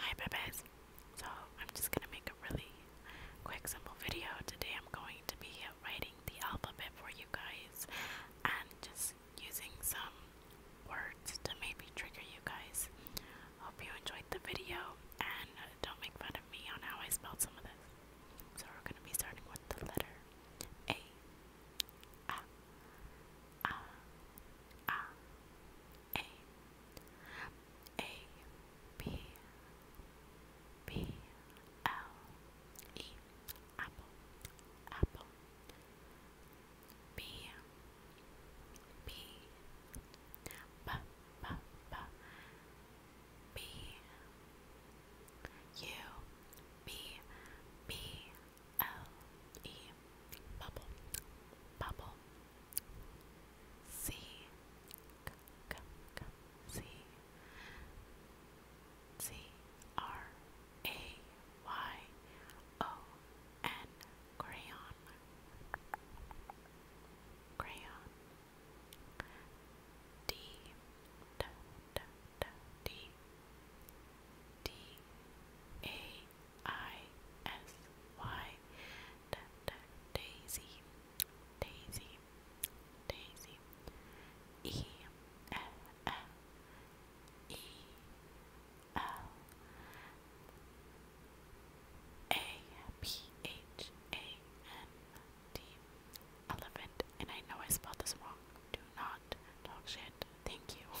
Hi babies. So I'm just gonna make a really quick simple video. Today I'm going to be writing the alphabet for you guys and just using some words to maybe trigger you guys. Hope you enjoyed the video and don't make fun of me on how I spelled some of this. So we're gonna be starting with the letter A. A. A. A A B B L E Apple Apple B B B B B B U B B L E bubble bubble C c c c C R A Y O N crayon crayon D D D D D A I S Y Daisy Daisy Daisy E L L E L A P H A N T Elephant and I know I spelled this wrong. Do not talk shit. Thank you.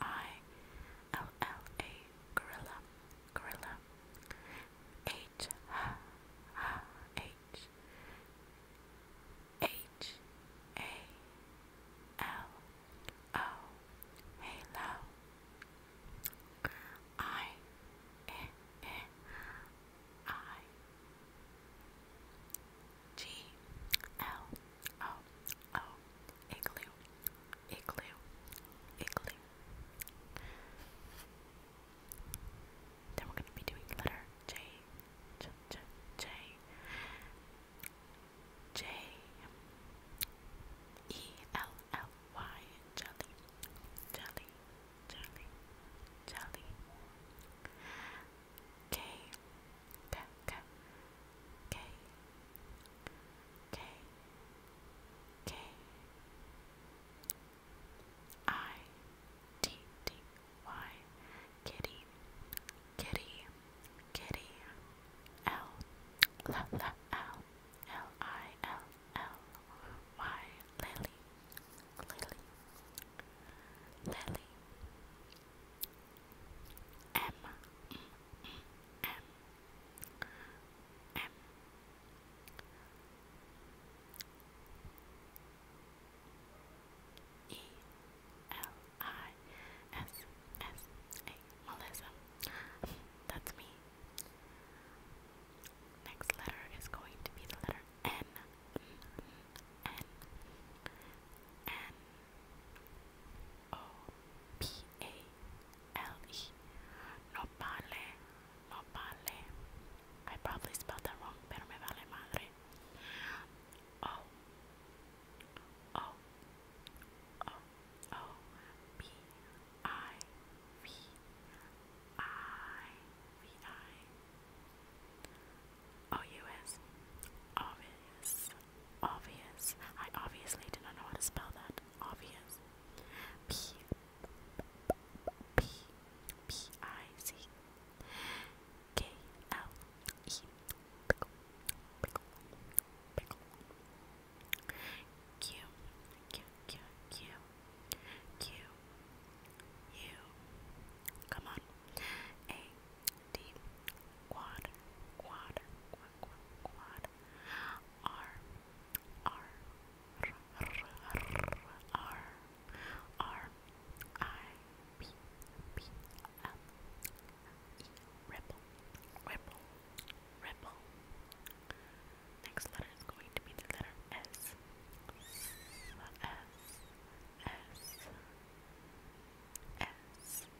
I L L A gorilla gorilla H H H A L O Halo I E E I G L Oh, oh, igloo, igloo, igloo. Then we're going to be doing letter J, J, J, J, J, E, L, L, Y, jelly, jelly, jelly, jelly, K, K K K K K I T T Y Kitty Kitty Kitty L L L L L I L L Y Lily Lily Lily M E L I S S A Melissa. That's me. Next letter is going to be the letter N. N. N. N. O P A L E. Nopale, nopale. I probably spelled that wrong, pero vale madre. O O O O B I V I V I O-U-S. Oh, Obvious. Obvious. I obviously do not know how to spell that. Obvious. P. P. P. I. C. K. L. E. Pickle. Pickle. Pickle. Q. Q. Q. Q. Q. U. Come on. A deep quad quad quad quad quad r r r r r r i p p l e ripple ripple ripple next letter is going to be the letter s s s S S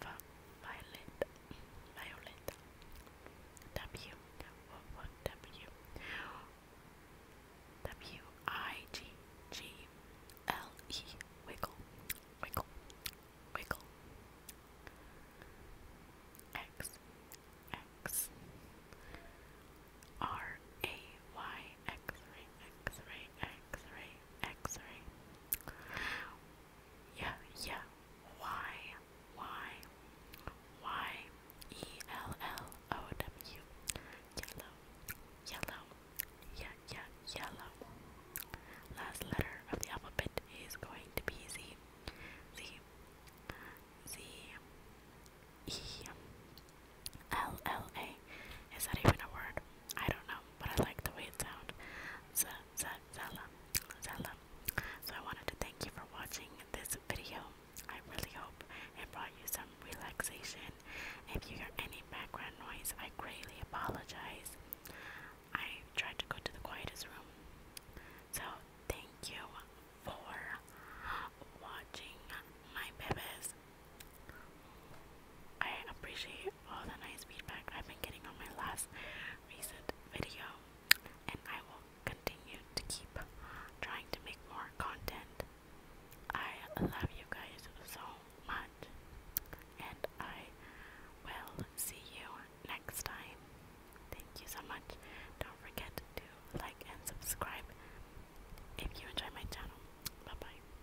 Violet, Violet, W, W, W, I, G, G, L, E, Wiggle, Wiggle, Wiggle, X, X, R, A, Y, X, ray, X, ray, X, ray, X-ray. Yeah, yeah. Y, Y, Y, E L L O W. Yellow, yellow. Yeah, yeah, yellow. Last letter of the alphabet is going to be Z. Z. Z. E. L L A is that even a word? I don't know, but I like the way it sounds. Z zella, So I wanted to thank you for watching this video. I really hope it brought you some relaxation. If you hear any background noise, I greatly apologize. I tried to go to the quietest room. So thank you for watching my babies. I appreciate all the nice feedback I've been getting on my last recent video, and I will continue to keep trying to make more content. I love you guys so much, and I will see you next time. Thank you so much. Don't forget to like and subscribe if you enjoy my channel. Bye bye.